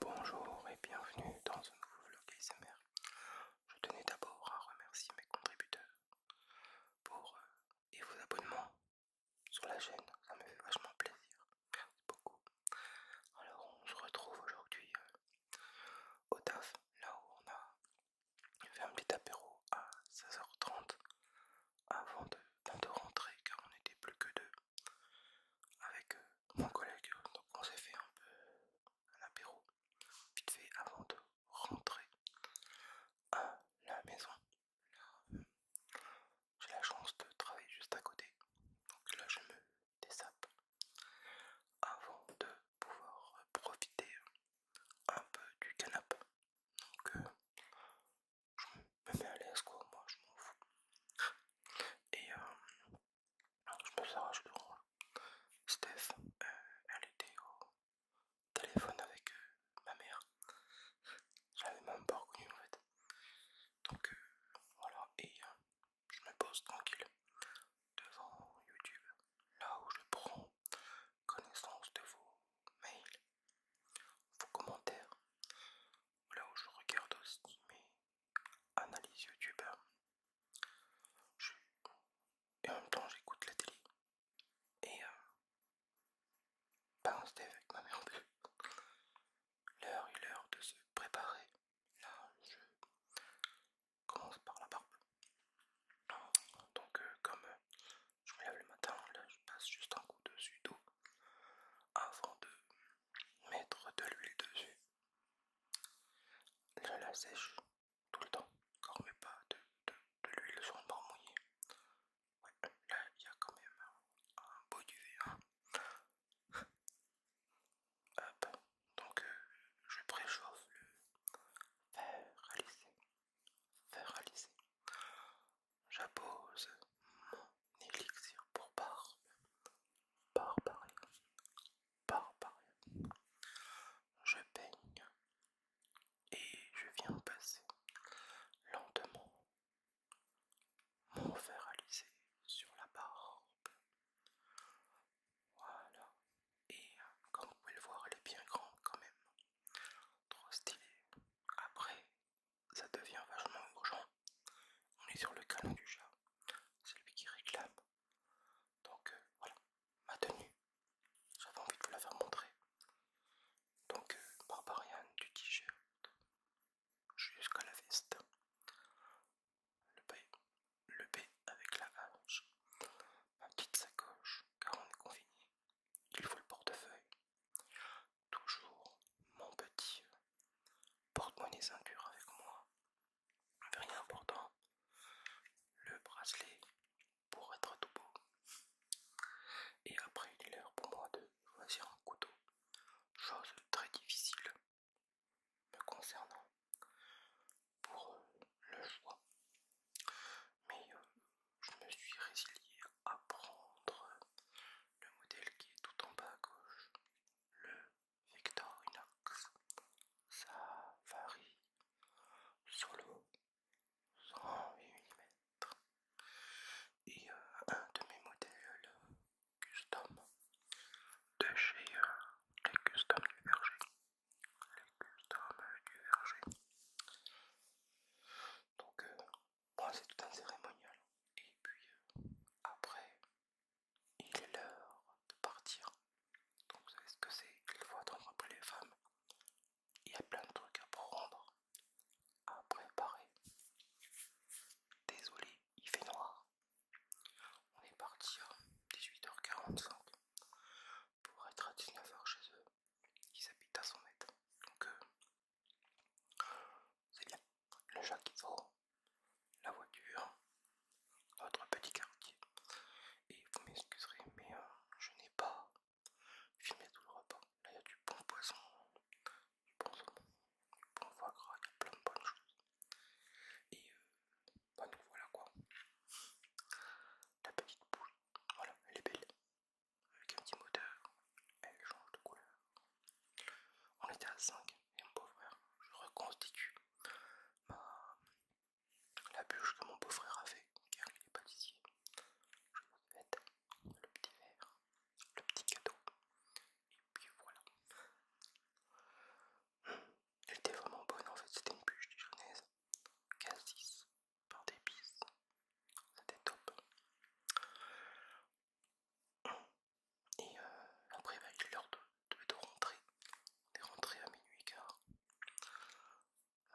Bonjour et bienvenue dans un nouveau vlog ASMR. Je tenais d'abord à remercier mes contributeurs pour euh, et vos abonnements sur la chaîne, ça me fait vachement plaisir. Merci beaucoup. Alors on se retrouve aujourd'hui euh, au taf, là où on a fait un petit apéro à 16h30 avant de, de rentrer car on n'était plus que deux avec euh, mon collègue. Donc on s'est fait un peu un apéro vite fait avant de rentrer à la maison. j'ai la chance de travailler juste à côté. Donc là, je me dessape avant de pouvoir profiter un peu du canap Donc euh, je me mets à l'aise moi je m'en fous. Et euh, je me suis arraché le là. Steph, euh, elle était au téléphone avec euh, ma mère. Je l'avais même pas reconnue en fait. Donc voilà, et je me pose tranquille devant YouTube, là où je prends connaissance de vos mails, vos commentaires. Là où je regarde aussi mes analyses YouTube. Et en même temps, j'écoute la télé. Et pense euh, balance avec ma mère. L'heure est l'heure de se préparer. Là, je commence par la barbe. Donc, euh, comme euh, je me lève le matin, là je passe juste un coup de d'eau avant de mettre de l'huile dessus. Je la sèche tout le temps, quand mais pas de, l'huile sur un bord mouillé. là il y a quand même un, beau duvet. donc euh, je préchauffe le verre à lisser faire réaliser. J'appose mon élixir pour barbe. par Barbarie. Je peigne et je viens passer lentement mon faire sur la barbe. Voilà, et euh, comme vous pouvez le voir, elle est bien grande quand même. Trop stylée. Après, ça devient vachement urgent. On est sur le canon du chat. C'est lui qui réclame. Donc euh, voilà, ma tenue. J'avais envie de vous la faire montrer. Donc euh, Barbarian du t-shirt jusqu'à la veste. Le, le B avec la vache, ma petite sacoche, car on est confiné, il faut le portefeuille, toujours mon petit porte-monnaie ceinture avec moi, rien d'important, le bracelet pour être tout beau. Et après il est l'heure pour moi de choisir un couteau, chose très difficile me concernant pour euh, le choix. Mais euh, je me suis résilié à prendre euh, le modèle qui est tout en bas à gauche, le Victorinox. Ça varie solo 108 mm. Et un de mes modèles custom de chez les custom du berger custom du verger. Donc, euh, c'est tout un cérémonial. Et puis, euh, après, il est l'heure de partir. Donc, vous savez ce que c'est Il faut attendre les femmes. Il y a plein de trucs à prendre, à préparer. Désolé, il fait noir. On est parti à hein. 18h45 pour être à 19h chez eux. Ils habitent à 100 mètres. Donc euh, c'est bien. Le chat qu'il faut, la voiture, notre petit quartier. Et vous m'excuserez, mais euh, je n'ai pas filmé tout le repas. Là il y a du bon poisson, du bon saumon, du bon foie gras, il y a plein de bonnes choses. Et euh, bah, voilà quoi. La petite boule, voilà, elle est belle. Avec un petit moteur, elle change de couleur. On était à 5 et mon beau-frère, je reconstitue la bûche que mon beau-frère a fait, car il est ici. Je le petit verre, le petit cadeau, et puis voilà. Elle était vraiment bonne en fait, c'était une bûche casse Cassis, par d'épices. C'était top. Et euh, après, bah, il est l'heure de, rentrer. On est à minuit car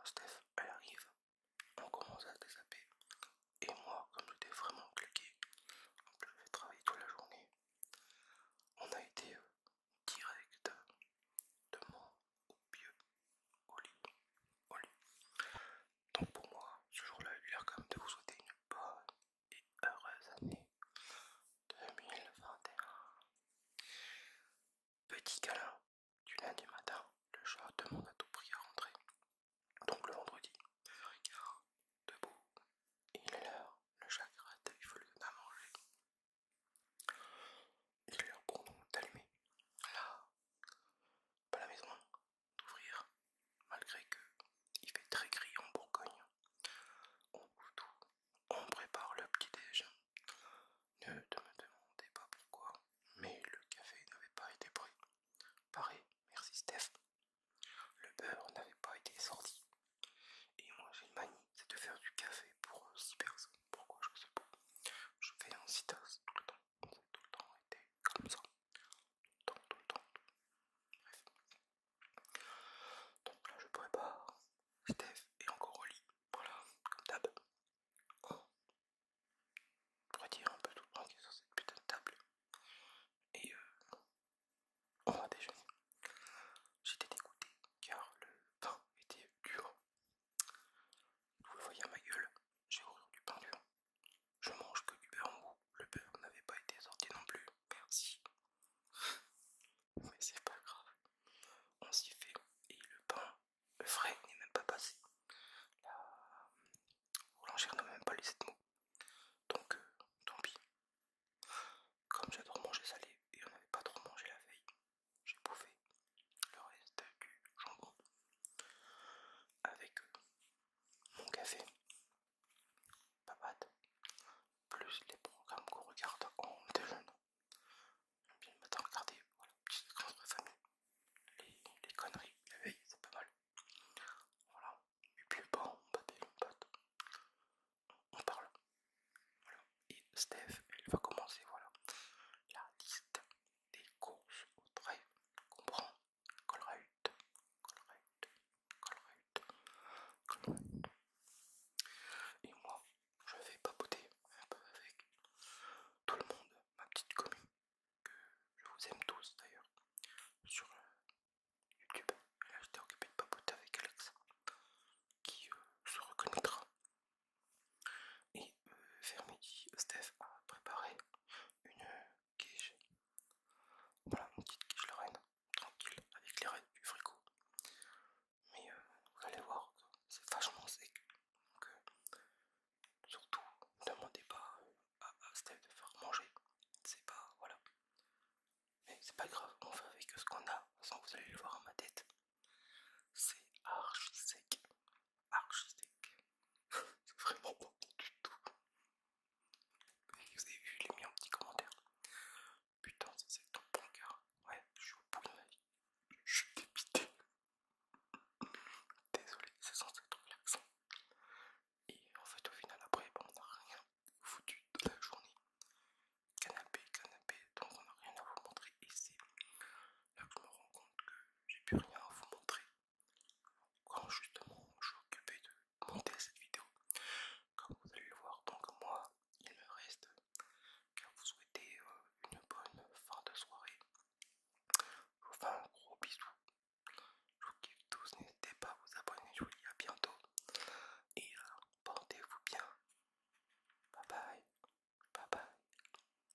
Steph, elle arrive. On commence à se et moi, comme j'étais vraiment claqué, donc je vais travailler toute la journée, on a été euh, direct de mon au pieu, au lit, Donc pour moi, ce jour-là, il a l'air quand de vous souhaiter une bonne et heureuse année 2021. Petit câlin du lundi matin, le chat demande à tout prix à rentrer. Donc le vendredi, 1h15, debout, il est l'heure, le chakra faut à manger. Il est l'heure pour nous d'allumer. Là, pas la maison, d'ouvrir, malgré que il fait très gris en Bourgogne. On ouvre tout, on prépare le petit déj. Ne te me demandez pas pourquoi, mais le café n'avait pas été pris. Pareil, merci Steph. Le beurre n'avait pas été sorti. Et moi j'ai une manie, c'est de faire du café pour 6 euh, personnes. Pourquoi je sais pas. Je fais un 6 tout le temps. tout le temps été comme ça. Tout le temps, tout le temps. Bref. Donc là je prépare. Steph est encore au lit. Voilà, comme d'hab. Oh dire un peu tout sur ah, cette putain de table et euh, on va déjeuner. J'étais dégoûté car le pain était dur. Vous le voyez à ma gueule, j'ai horreur du pain dur. Je mange que du beurre goût. Le beurre n'avait pas été sorti non plus. Merci. Mais c'est pas grave. On s'y fait. Et le pain le frais n'est même pas passé. La n'a même pas lu cette mot Donc, euh, tant pis. Comme j'ai trop mangé salé et on n'avait pas trop mangé la veille, j'ai bouffé le reste du jambon avec euh, mon café, papade, plus les programmes qu'on regarde en déjeuner bien le matin, regardez, voilà, petite les, les conneries, la veille, c'est pas mal. Voilà, et puis bon, on baptise, on on parle. Voilà, et Steph, elle va commencer, voilà, la liste des courses au trait qu'on prend. Colruyt, Et moi, je vais papoter un peu avec tout le monde ma petite commune, que je vous aime tous d'ailleurs, sur euh, YouTube. Et là, j'étais occupé de papoter avec Alex, qui euh, se reconnaîtra. Et vers euh, midi, Steph a préparé une quiche. Voilà, une petite quiche la reine, tranquille, avec les reines du frigo mais euh, vous allez voir c'est vachement sec. Donc, euh, surtout, ne demandez pas euh, à, Steve de faire manger. C'est pas, voilà. Mais c'est pas grave, on fait avec ce qu'on a. Sans vous allez le voir à ma tête. C'est archi sec. Archi sec. c'est vraiment pas bon du tout. vous avez vu, les l'ai mis en petit commentaire. Putain, c'est sec bon gars, cœur. Ouais, je suis au bout de ma vie. Je suis Désolé, c'est censé être relaxant. Et en fait, au final, après, on a rien foutu de la journée. Canapé, canapé, donc on n'a rien à vous montrer. ici là je me rends compte que j'ai plus rien à vous montrer. Quand justement je suis occupé de monter cette vidéo, comme vous allez le voir, donc moi il le reste que vous souhaitez euh, une bonne fin de soirée. Je vous fais un gros bisou. Je vous kiffe tous, n'hésitez pas à vous abonner, je vous dis à bientôt. Et euh, portez-vous bien. Bye bye. Bye bye.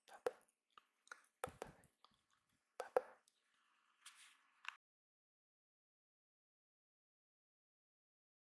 Bye bye. Bye bye. Bye bye.